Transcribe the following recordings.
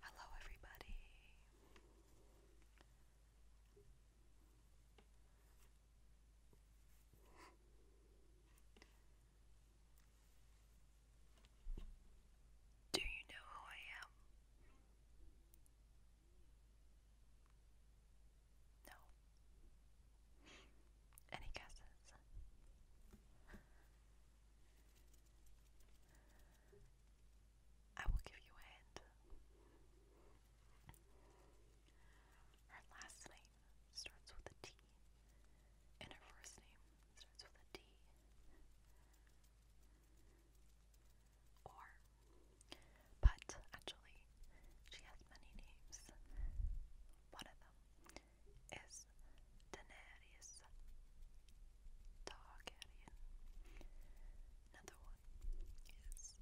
Hello, everybody. Do you know who I am? No. Any guesses? I will give you a hint. Her last name starts with a T, and her first name starts with a D. Or, but actually, she has many names. One of them is Daenerys Targaryen. Another one is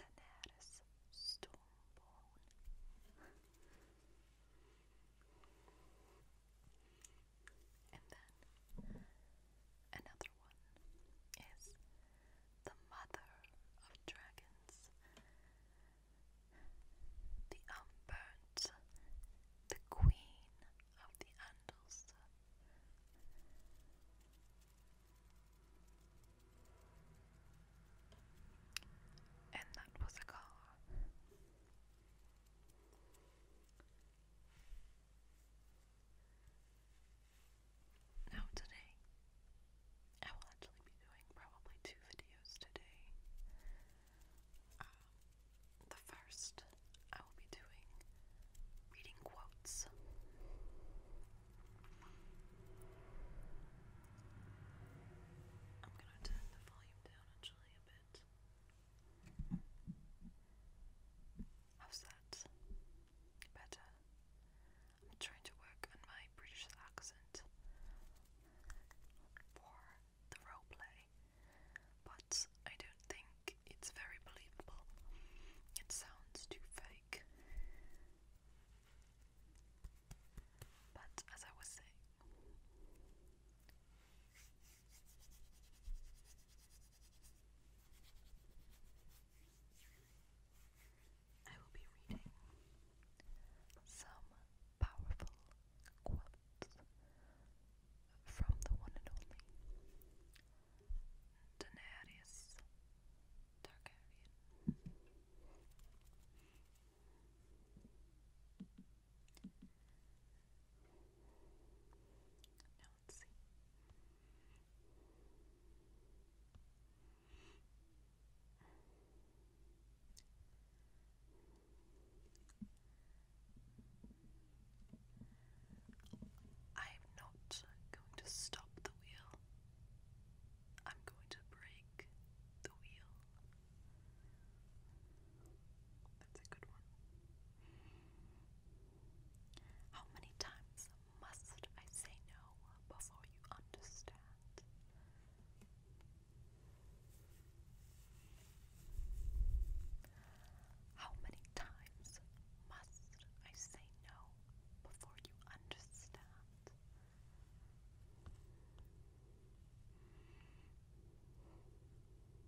Daenerys Stormborn. And then another one is the mother of dragons, the Umbert, the queen of the Andals. And that was a car. Now today, I will actually be doing probably two videos today. Um, the first, I will be doing reading quotes. I'm gonna turn the volume down actually a bit. How's that? Better. I'm trying to work on my British accent for the roleplay, but I don't think it's very believable. It sounds too fake. But as I was saying, I will be reading some powerful quotes from the one and only Daenerys Targaryen let's I am not going to stop the wheel. I'm going to break the wheel. That's a good one. How many times must I say no before you understand? How many times must I say no before you understand?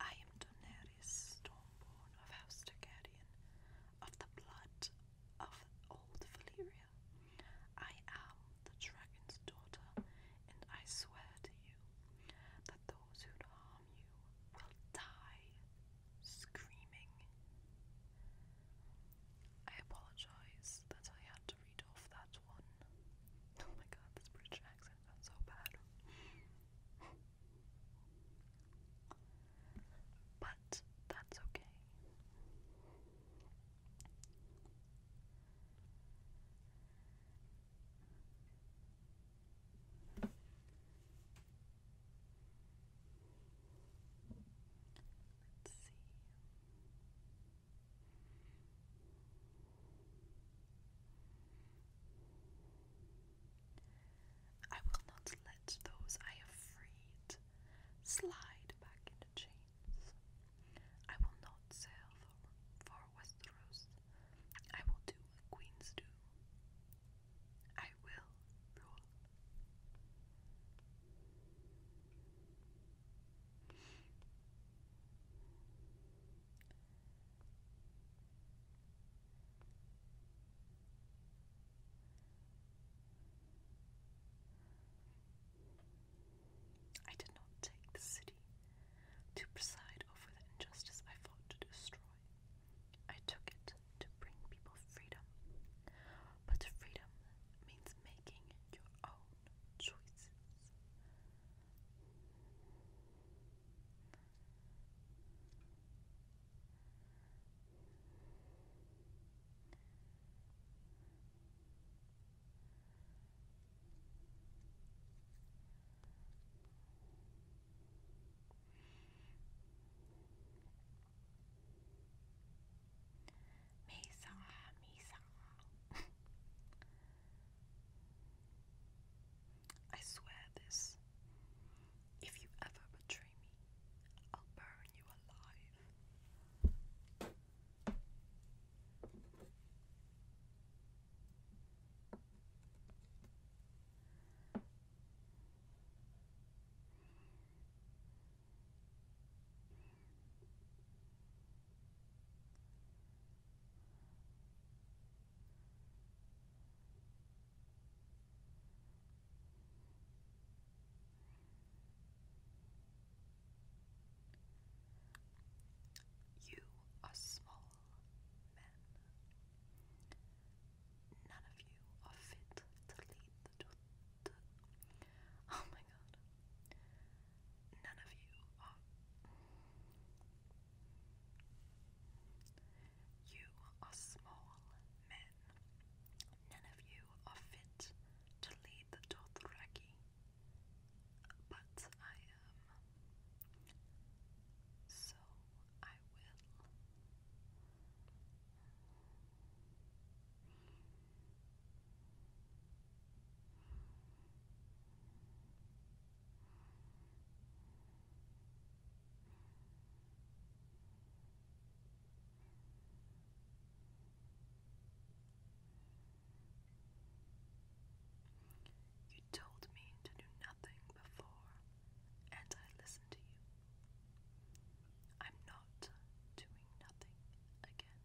I am Daenerys Stormborn of House Targaryen, of the blood of old Valyria. I am the dragon's daughter, and I swear to you that those who harm you will die screaming. I apologize that I had to read off that one. Oh my god, this British accent sounds so bad. but that's okay. Let's see. I will not let those I have freed slide back into chains. I will not sail for, for Westeros. I will do what queens do. I will rule. I did not take the city to preside over the injustice I fought to destroy. I took it to bring people freedom. But freedom means making your own choices. Mesa, Mesa. I swear this. If you ever betray me, I'll burn you alive. You are small men. None of you are fit to lead the Oh my god. None of you are. You are small men. None of you are fit to lead the Dothraki. But I am. So I will. You told me to do nothing before, and I listened to you. I'm not doing nothing again.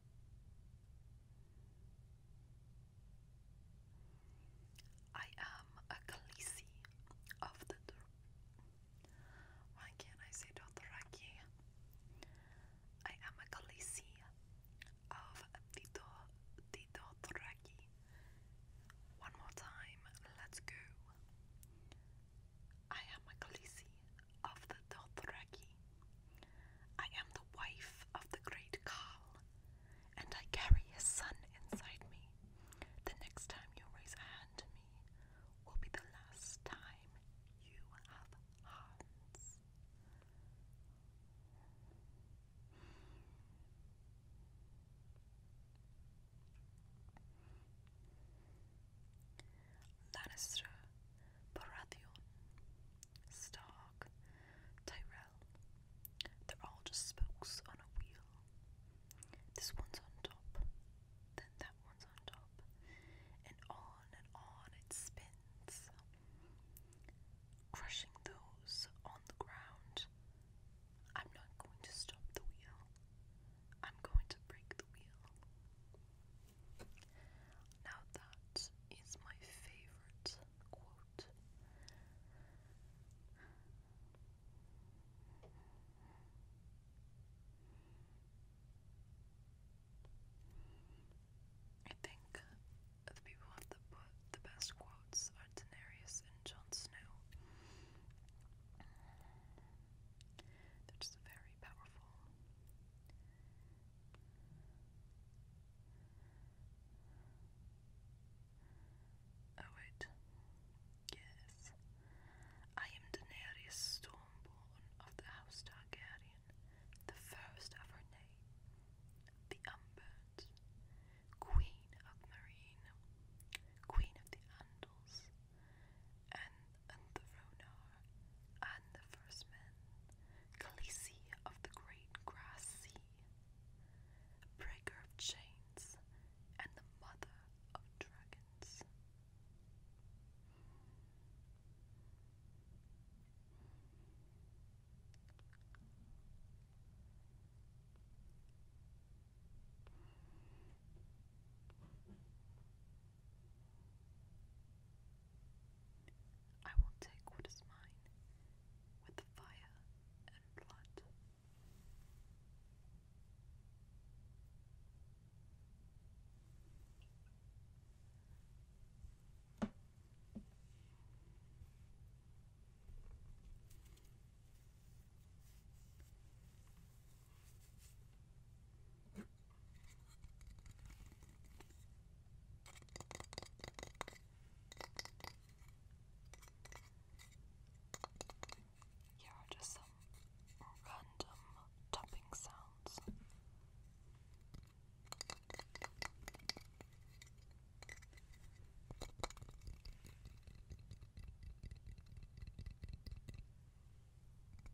I am a Khaleesi of the Why can't I say Dothraki? I am a Khaleesi of the, Do One more time, let's go. I am a of the Dothraki. I am the wife of the great Khal, and I carry his son inside me. The next time you raise a hand to me will be the last time you have hands. Lannister, Baratheon, Stark, Tyrell. They're all just spokes on a wheel. This one's on top, then that one's on top, and on and on it spins, crushing those on the ground. I'm not going to stop the wheel. I'm going to break now that is my favorite quote. I think the people with the, the best quotes are Daenerys and Jon Snow. They're just very powerful. Oh wait. Yes. I am Daenerys Stormborn of the House Targaryen, the first of her name, the Umbered, Queen of Marine, Queen of the Andals, and, and and the First Men, Khaleesi of the Great Grass Sea, Breaker of Chains, and the Mother of Dragons. I will take what is mine with fire and blood. Here are just some random tapping sounds.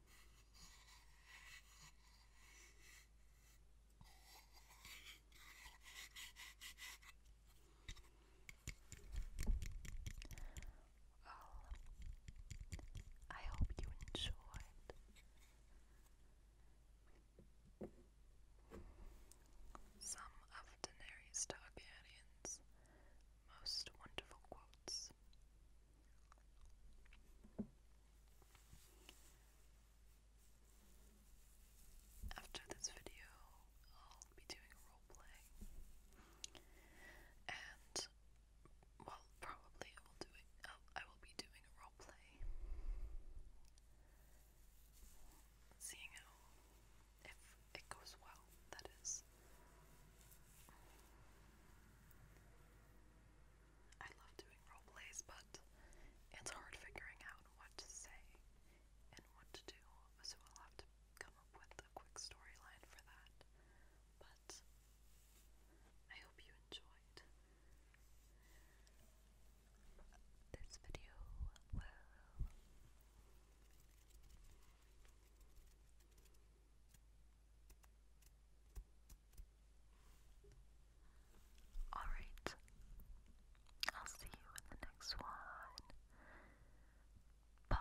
Well, I hope you enjoyed. Some of Daenerys Targaryens most wonderful quotes. After this video, I'll be doing a role play, and well, probably I will do it. I will be doing a role play, seeing how if it goes well. That is. I love doing role plays, but it's hard figuring out what to say and what to do, so I'll have to come up with a quick storyline for that. But I hope you enjoyed. This video will Alright, I'll see you in the next one. Bye.